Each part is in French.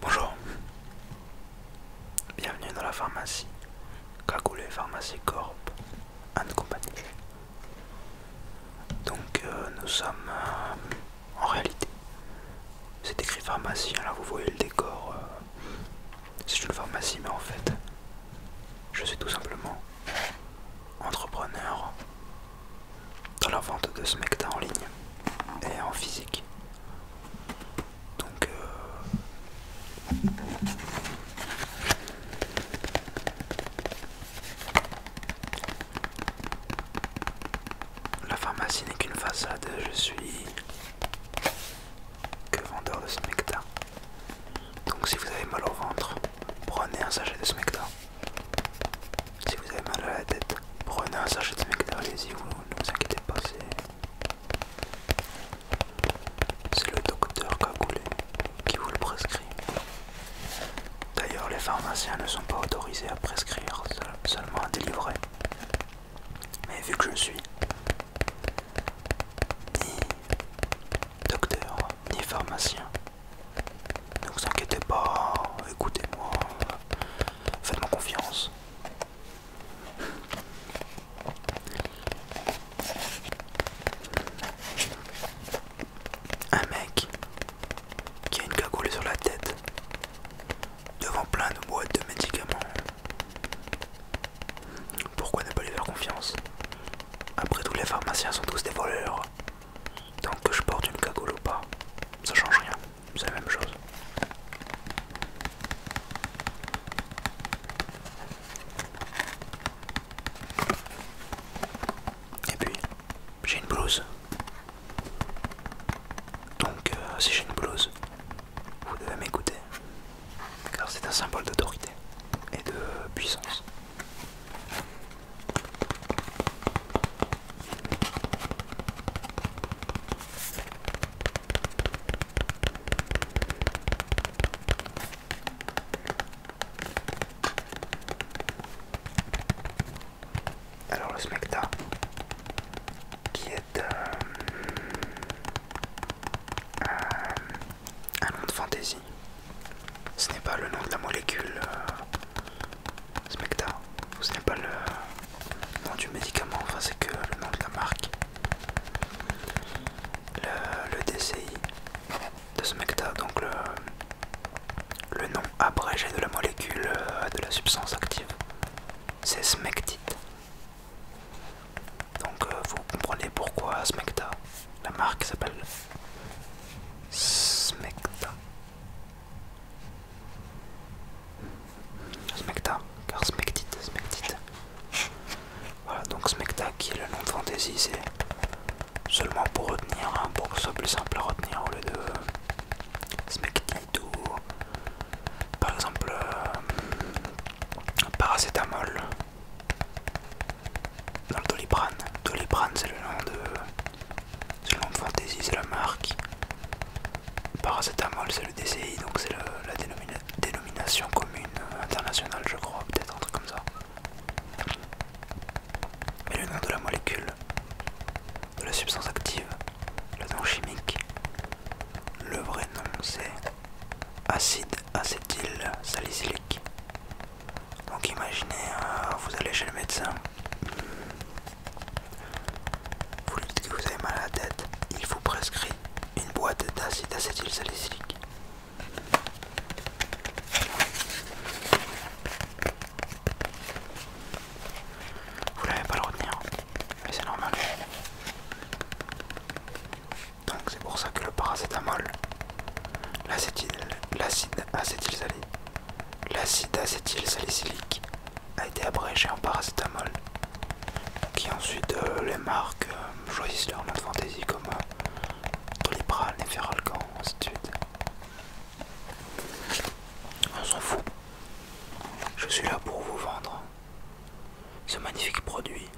Bonjour, bienvenue dans la pharmacie Cagoulé Pharmacie Corp and Company. Donc euh, nous sommes euh, en réalité, c'est écrit pharmacie, hein, là vous voyez le décor, euh, c'est une pharmacie mais en fait je suis tout simplement entrepreneur dans la vente de Smecta en ligne et en physique. Donc euh, la pharmacie n'est qu'une façade, je suis que vendeur de Smecta. Donc si vous avez mal au ventre, prenez un sachet de Smecta. Si vous avez mal à la tête, prenez un sachet de Smegdal si vous ne vous inquiétez pas, c'est le docteur Cagoulé qui vous le prescrit. D'ailleurs, les pharmaciens ne sont pas autorisés à prescrire, seulement à délivrer. Mais vu que je suis ni docteur ni pharmacien, ne vous inquiétez pas, écoutez-moi, Faites-moi confiance. Un mec qui a une cagoule sur la tête devant plein de boîtes de médicaments. Pourquoi ne pas lui faire confiance Après tout, les pharmaciens sont tous des voleurs. Tant que je porte une cagoule ou pas, ça change rien c'est la même chose. Et puis, j'ai une blouse. Donc, euh, si j'ai une blouse, vous devez m'écouter. Car c'est un symbole d'autorité et de puissance. Alors le smecta qui est euh, un nom de fantaisie. Ce n'est pas le nom de la molécule euh, ce n'est pas le nom du médicament, enfin c'est que le nom de la marque. Le, DCI de Smecta, donc le, nom abrégé de la molécule euh, de la substance active, c'est Smectite. Donc euh, vous comprenez pourquoi Smecta, la marque s'appelle Smecta. Smecta, car smectite, smectite. Voilà, donc Smecta qui est le nom de Fantasy, c'est seulement pour retenir, hein, pour que ce soit plus simple à retenir au lieu de euh, Smectite ou par exemple euh, Paracétamol dans le Doliprane. Doliprane, c'est le nom de c'est de Fantasy, c'est la marque. Paracétamol, c'est le DCI, donc c'est la dénomination commune euh, internationale, je crois, peut-être un truc comme ça. Mais le nom de la molécule, de la substance active, le nom chimique, le vrai nom c'est acide acétyl salicylique. Donc imaginez, euh, vous allez chez le médecin, vous dites que vous avez mal à la tête, il vous prescrit une boîte d'acide acétylsalicylique. Vous n'avez pas le retenir, mais c'est normal. Donc c'est pour ça que le paracétamol, l'acide acétylsalicylique, L'acide acétylsalicylique a été abrégé en paracétamol, qui ensuite euh, les marques euh, choisissent leur mode fantaisie comme Les euh, Doliprane Les ainsi de On s'en fout. Je suis là pour vous vendre ce magnifique produit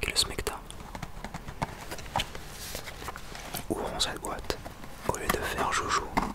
qui est le Smecta. Ouvrons cette boîte. Au lieu de faire joujou,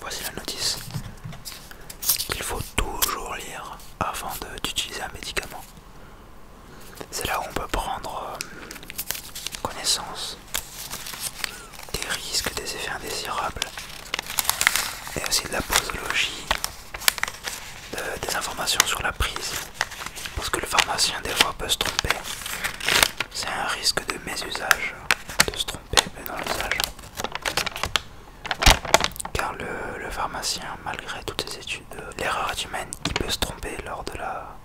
Voici la notice. qu'il faut toujours lire avant d'utiliser un médicament. C'est là où on peut prendre euh, connaissance des risques, des effets indésirables et aussi de la posologie, des informations sur la prise. Parce que le pharmacien des fois peut se tromper. C'est un risque de mésusage de se tromper dans l'usage. Car le, pharmacien, malgré toutes ses études, euh, l'erreur humaine, il peut se tromper lors de la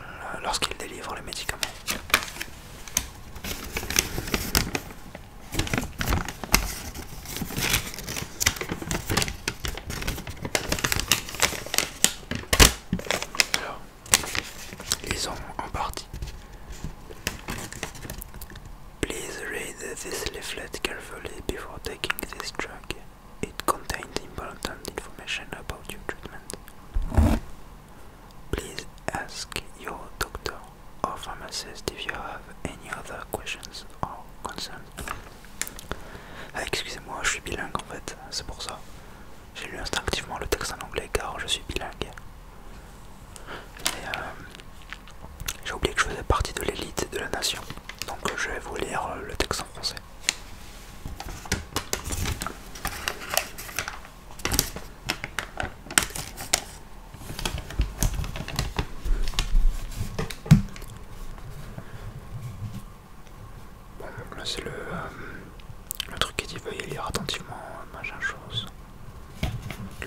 euh, lorsqu'il délivre le médicament les en partie. Please read this leaflet carefully before taking this drug. It contains important information about your treatment. Please ask your doctor or pharmacist if you have any other questions or concerns. Ah, excusez-moi, je suis bilingue en fait, c'est pour ça. J'ai lu instinctivement le texte en anglais car je suis bilingue. Euh, j'ai oublié que je faisais partie de l'élite de la nation, donc je vais vous lire euh, le texte en français. Bon, là c'est le... Euh, le truc est dit veuillez lire attentivement, machin chose.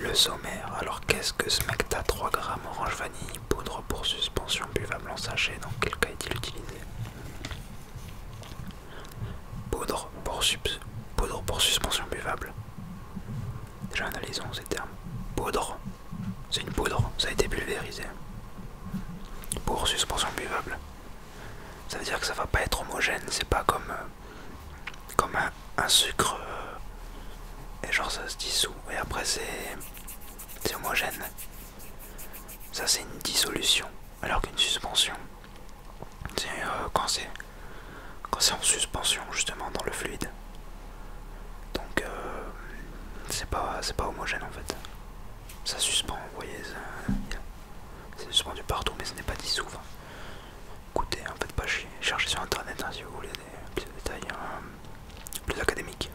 Le sommaire, alors qu'est-ce que ce ta 3 grammes orange vanille, poudre pour suspension buvable en sachet, dans quel cas est-il utilisé poudre pour, poudre pour suspension buvable. Déjà analysons ces termes. Poudre, c'est une poudre, ça a été pulvérisé. Pour suspension buvable, ça veut dire que ça va pas être homogène, c'est pas comme, euh, comme un, sucre euh, et genre ça se dissout et après c'est homogène. Ça c'est une dissolution, alors qu'une suspension, c'est euh, quand c'est quand c'est en suspension justement dans le fluide. Donc c'est pas c'est pas homogène en fait. Ça suspend, vous voyez. C'est suspendu partout, mais ce n'est pas dit souvent. Écoutez, en hein, fait, pas chier. Cherchez sur internet hein, si vous voulez des petits détails hein, plus académiques.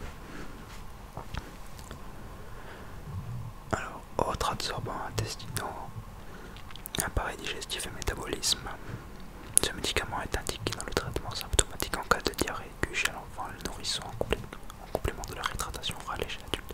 Alors, autre absorbant intestinaux, appareil digestif et métabolisme. Ce médicament est indiqué dans le traitement symptomatique en cas de diarrhée que chez l'enfant le nourrisson en complément de la rétratation orale chez l'adulte.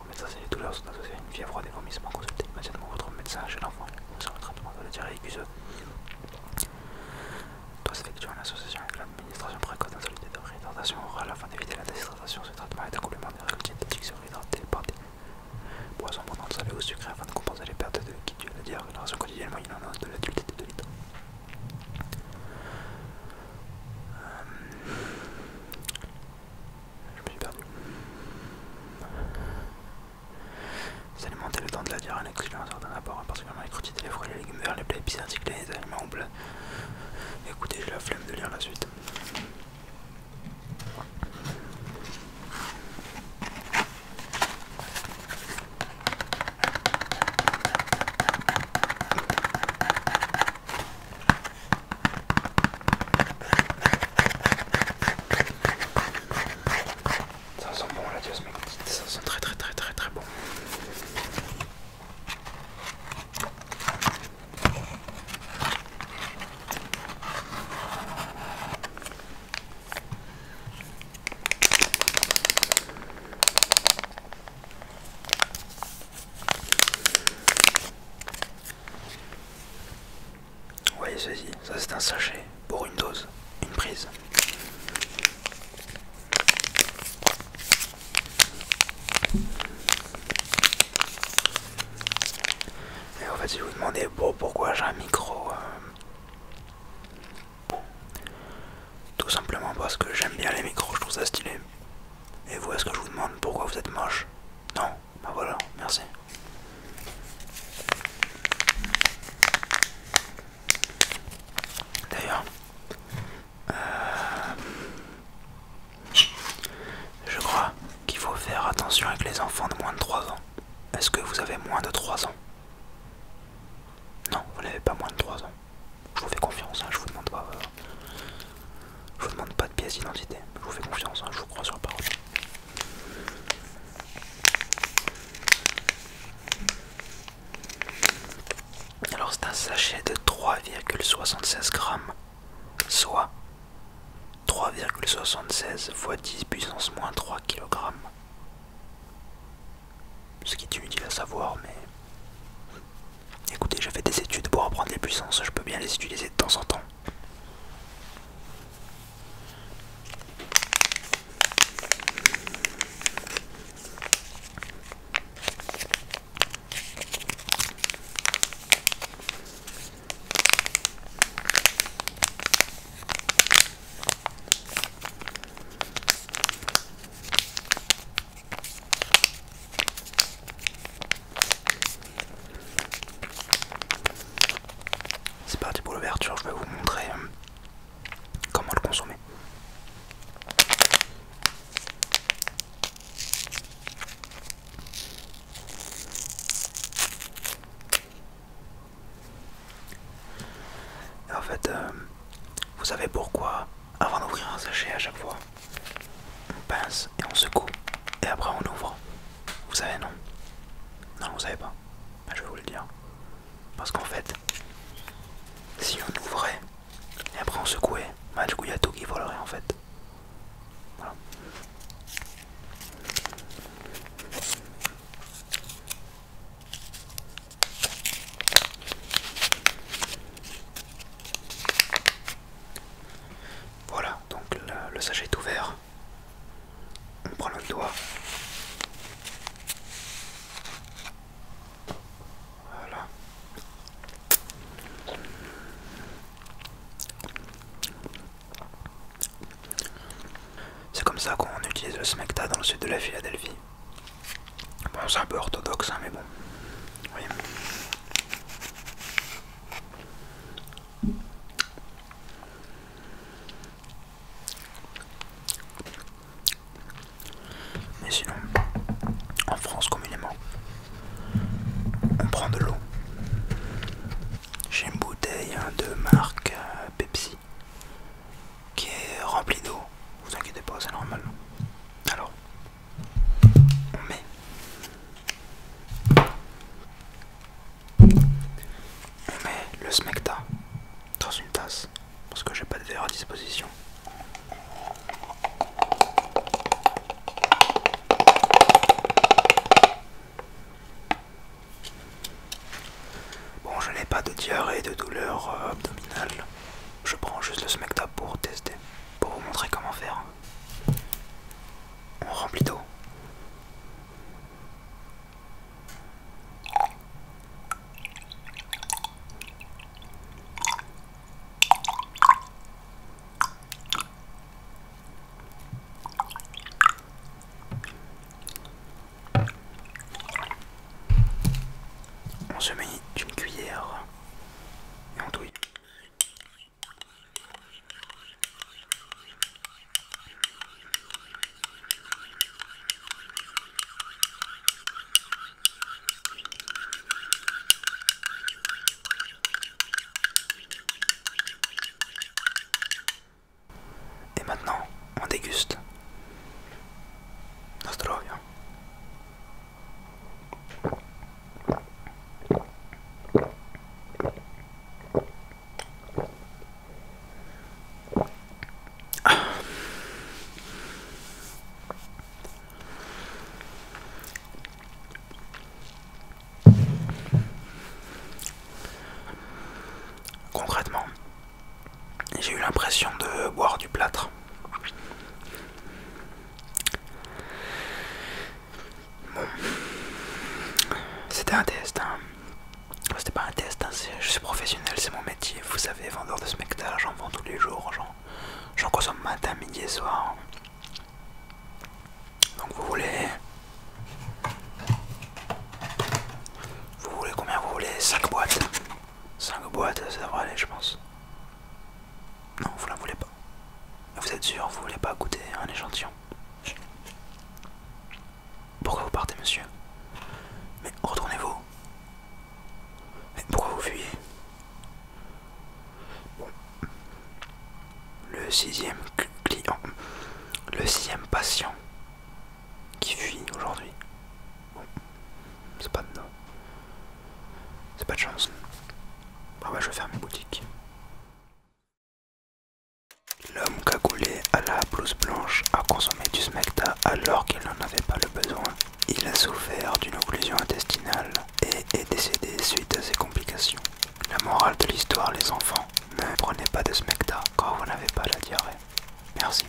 les douleurs sont associées à une fièvre ou à des vomissements, consultez immédiatement votre médecin chez l'enfant. Sur le traitement de la diarrhée aiguë doit s'effectuer en association avec l'administration précoce d'un de réhydratation orale afin d'éviter la déshydratation. Ce traitement est un complément de règles diététiques sur hydraté par des boissons le salé ou sucré afin de compenser les pertes de qui à la ration quotidienne moyenne en de l'adulte et de l'hydrate. Euh, je me suis perdu. Les le temps de la diarrhée en excluant certains apports, particulièrement les crottiers, les fruits, les légumes verts, les plats épicés les aliments oublés. Écoutez, j'ai la flemme de lire la suite. Ça sent bon la diosmectite, ça sent très très très très très bon voyez ceci, ça c'est un sachet pour une dose, une prise. Et en fait si vous demandez pourquoi j'ai un micro, euh, tout simplement parce que j'aime bien les micros, je trouve ça stylé. Et vous, est-ce que je vous demande pourquoi vous êtes moche Non bah voilà, merci. D'ailleurs, euh, je crois qu'il faut faire attention avec les enfants de moins de 3 ans. Est-ce que vous avez moins de 3 ans Non, vous n'avez pas moins de 3 ans. Je vous fais confiance, hein, je vous demande pas. Euh, vous demande pas de pièce d'identité. Je vous fais confiance, hein, je vous crois sur parole. Alors c'est un sachet de 3,76 grammes, soit 3,76 fois 10 puissance moins 3 kg. Ce qui est inutile à savoir, mais Écoutez, je fais des études pour apprendre les puissances, je peux bien les utiliser de temps en temps. C'est parti pour l'ouverture, je vais vous montrer euh, comment le consommer. en fait, euh, vous savez pourquoi, avant d'ouvrir un sachet à chaque fois, on pince et on secoue et après on ouvre. Vous savez non Non, vous savez pas. Bah, je vais vous le dire. Parce qu'en fait, si on ouvrait et après on secouait, bah, du coup il y a tout qui volerait en fait. Voilà, donc le, sachet est ouvert. On prend le doigt. Voilà. C'est comme ça qu'on utilise le smecta dans le sud de la Philadelphie. Bon, c'est un peu orthodoxe, hein, mais bon. voyez, Mais sinon, en France communément, on prend de l'eau. J'ai une bouteille hein, de marque euh, Pepsi qui est remplie d'eau. Vous inquiétez pas, c'est normal. Alors, on met le smecta dans une tasse parce que j'ai pas de verre à disposition Bon, je n'ai pas de diarrhée, de douleur euh, abdominale, je prends juste le SmackDab pour tester, pour vous montrer comment faire. On remplit d'eau. On se met une cuillère et on douille. Et maintenant, on déguste. Concrètement, j'ai eu l'impression de boire du plâtre. Bon. C'était un test, hein. C'était pas un test, hein, je suis professionnel, c'est mon métier. Vous savez, vendeur de spectacles, j'en vends tous les jours, j'en consomme matin, midi et soir. Donc vous voulez... Vous voulez combien vous voulez 5 boîtes 5 boîtes, ça devrait aller, je pense. Non, vous la voulez pas. Vous êtes sûr, vous voulez pas goûter un échantillon Pourquoi vous partez, monsieur Mais retournez-vous. Mais pourquoi vous fuyez Le sixième client. Le sixième patient qui fuit aujourd'hui. c'est pas de c'est pas de chance. Bah, je vais faire mes boutiques. L'homme cagoulé à la blouse blanche a consommé du smecta alors qu'il n'en avait pas le besoin. Il a souffert d'une occlusion intestinale et est décédé suite à ses complications. La morale de l'histoire, les enfants, ne prenez pas de smecta quand vous n'avez pas la diarrhée. Merci.